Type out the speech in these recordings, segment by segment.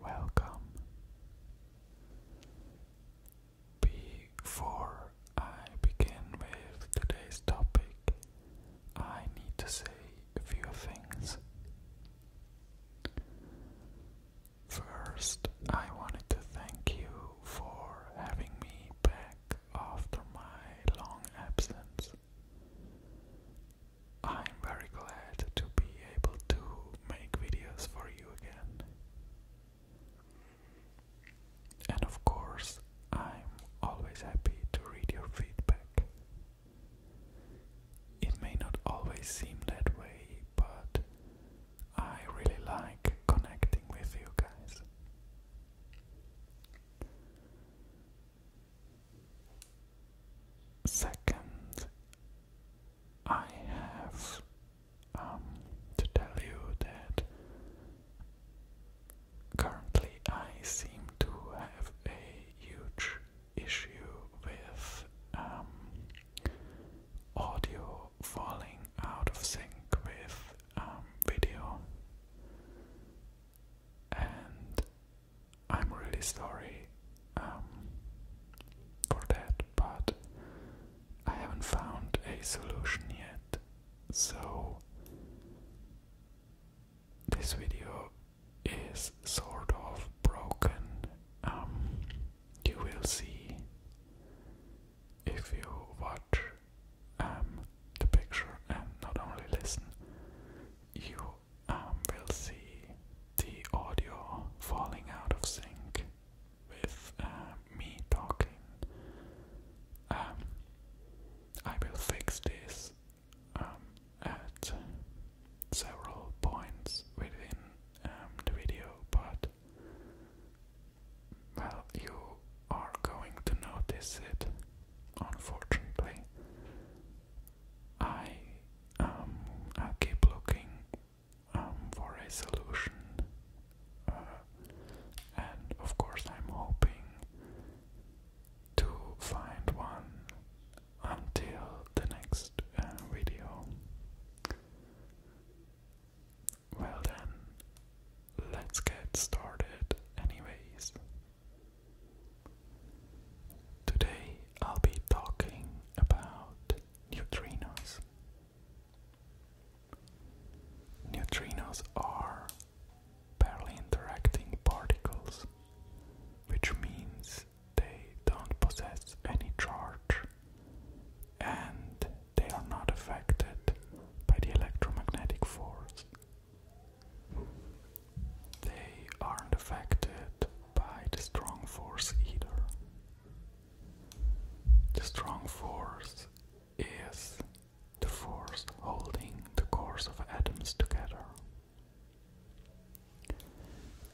Welcome. Before I begin with today's topic, I need to say a few things. First, I wanted to thank you for having me back after my long absence. I'm very glad to be able to make videos for you again. And of course, I'm always happy to read your feedback. It may not always seem that way, but I really like connecting with you guys. Second, I have um, to tell you that currently I seem to have a huge issue with um, audio falling out of sync with um, video. And I'm really sorry um, for that, but I haven't found a solution yet. So, this video is sort of broken. Um, you will see if you watch um, the picture and not only listen, you um, we'll see the audio falling out of sync with uh, me talking. Um, I will fix this um, at several points within the video, but well, you are going to notice it, unfortunately. I um, i keep looking um, for a solution, uh, and of course I'm hoping to find one until the next uh, video. Well then, let's get started anyways. Today I'll be talking about neutrinos. Neutrinos are barely interacting particles, which means they don't possess any charge and they are not affected by the electromagnetic force. They aren't affected by the strong force either. The strong force is the force holding the cores of atoms together.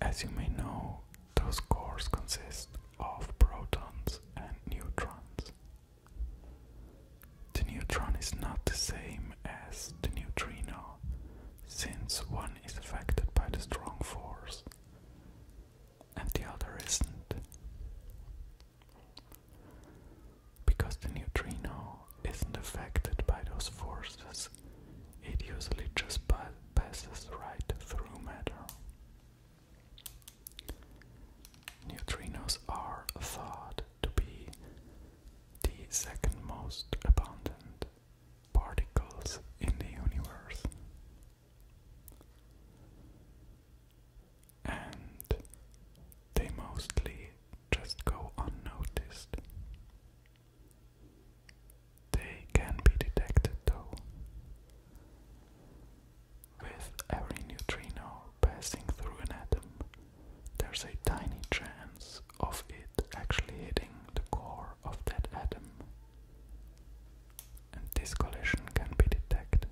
As you may know, those cores consist of protons and neutrons. The neutron is not the same as the neutrino since one is affected by the strong force and the other isn't. Because the neutrino isn't affected by those forces, it usually just passes right through matter. Neutrinos are thought to be the second most abundant particles in the universe. And they mostly just go unnoticed. They can be detected though, with every neutrino passing through an atom. There's a tiny chance of it actually hitting the core of that atom. And this collision can be detected.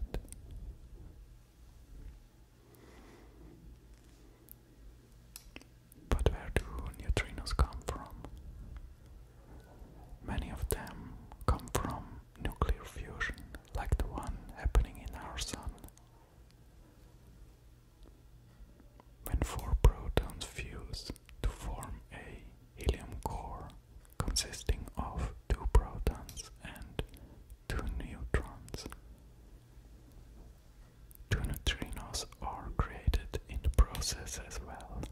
But where do neutrinos come from? Many of them come from nuclear fusion, like the one happening in our Sun. When four protons fuse to form a helium core consisting of two protons and two neutrons, two neutrinos are created in the process as well.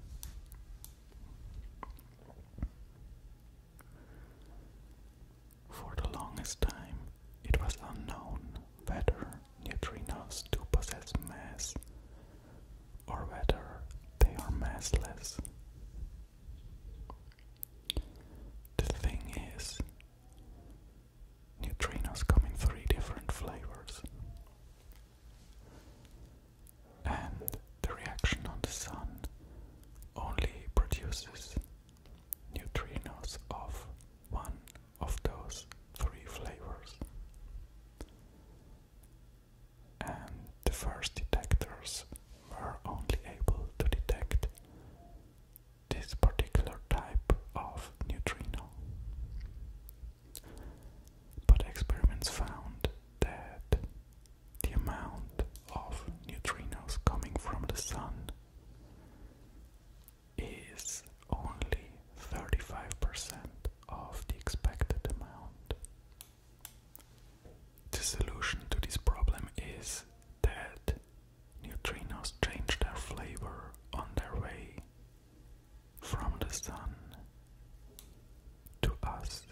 For the longest time, it was unknown whether neutrinos do possess mass or whether they are massless. The thing is, neutrinos come in three different flavors, and the reaction on the Sun only produces neutrinos of one of those three flavors. And the first detectors were only able to detect this particular type of neutrino. But experiments found that the amount of neutrinos coming from the sun is only 35% of the expected amount. The solution to this problem is that neutrinos change their flavor on their way from the sun to us.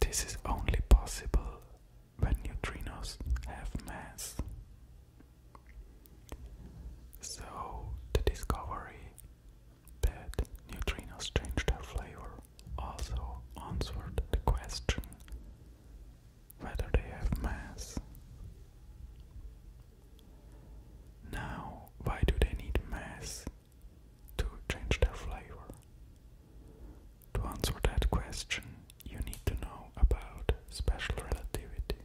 This is only possible when neutrinos have mass. So, the discovery that neutrinos change their flavor also answered the question whether they have mass. Now, why do they need mass to change their flavor? To answer that question, you need to know about special relativity.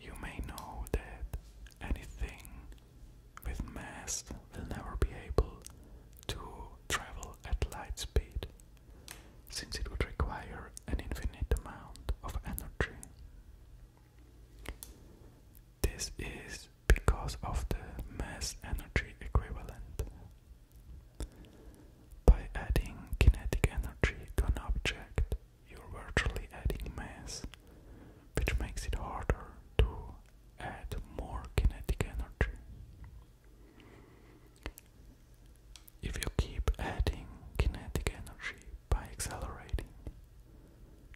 You may know that anything with mass will never be able to travel at light speed, since it would require an infinite amount of energy. This is because of the mass energy equivalent by adding kinetic energy to an object, you're virtually adding mass, which makes it harder to add more kinetic energy. If you keep adding kinetic energy by accelerating,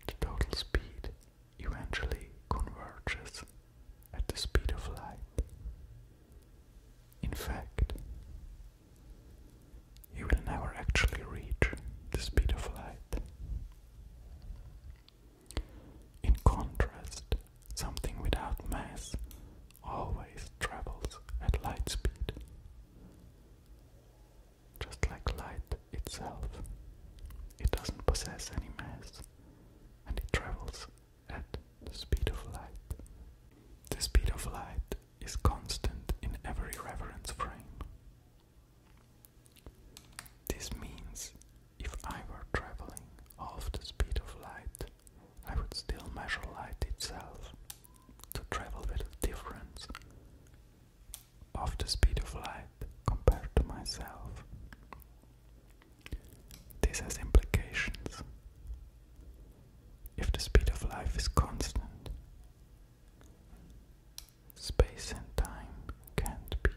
the total speed eventually converges at the speed of light. In fact, you will never actually reach the speed of light. In contrast, something without mass always travels at light speed, just like light itself. It doesn't possess any mass and it travels at the speed of light. The speed of light is constant in every reference frame. This means if I were traveling half the speed of light, I would still measure light itself to travel with a difference of the speed of light compared to myself. This has implications. If the speed of life is constant, space and time can't be.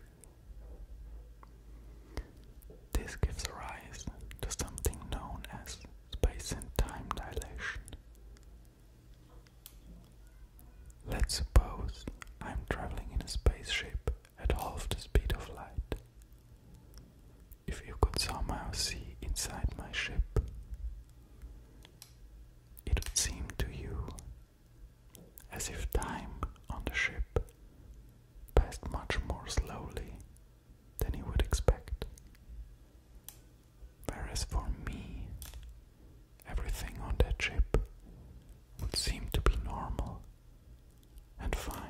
This gives rise to something known as space and time dilation. Let's suppose I'm traveling in a spaceship at half the speed of light if you could somehow see inside my ship, it would seem to you as if time on the ship passed much more slowly than you would expect. Whereas for me, everything on that ship would seem to be normal and fine.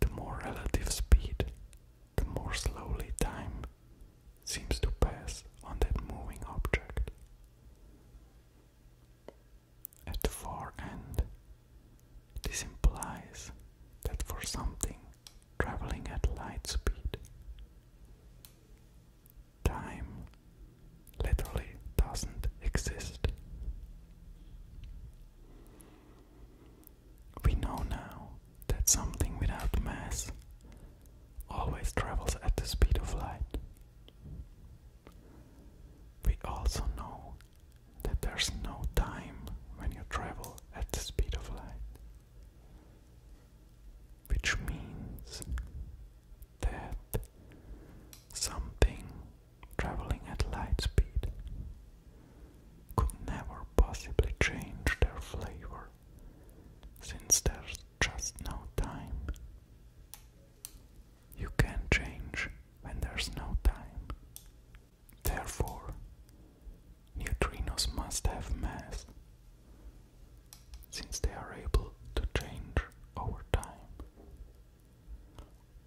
The more relative speed, the more slowly time seems to pass on that moving object. At the far end, this implies that for something traveling at light speed, time literally doesn't exist. We know now that something without mass always travels at the speed of light. We also know that there's no time when you travel at the speed of light, which means that something traveling at light speed, could never possibly change their flavor since there's just no time. You can change when there's no time. Therefore, neutrinos must have mass since they are able to change over time.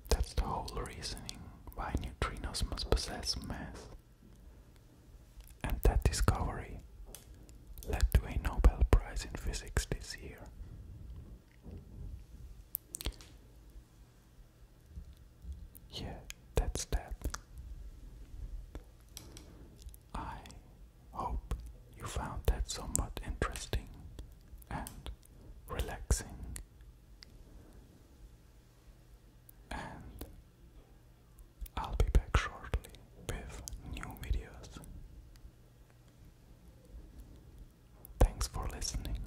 That's the whole reasoning why neutrinos must possess mass. And that discovery led to a Nobel Prize in Physics this year. Yeah, that's that. I hope you found that somewhat interesting and relaxing and I'll be back shortly with new videos. Thanks for listening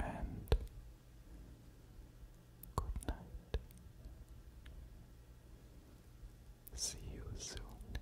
and good night. See you soon.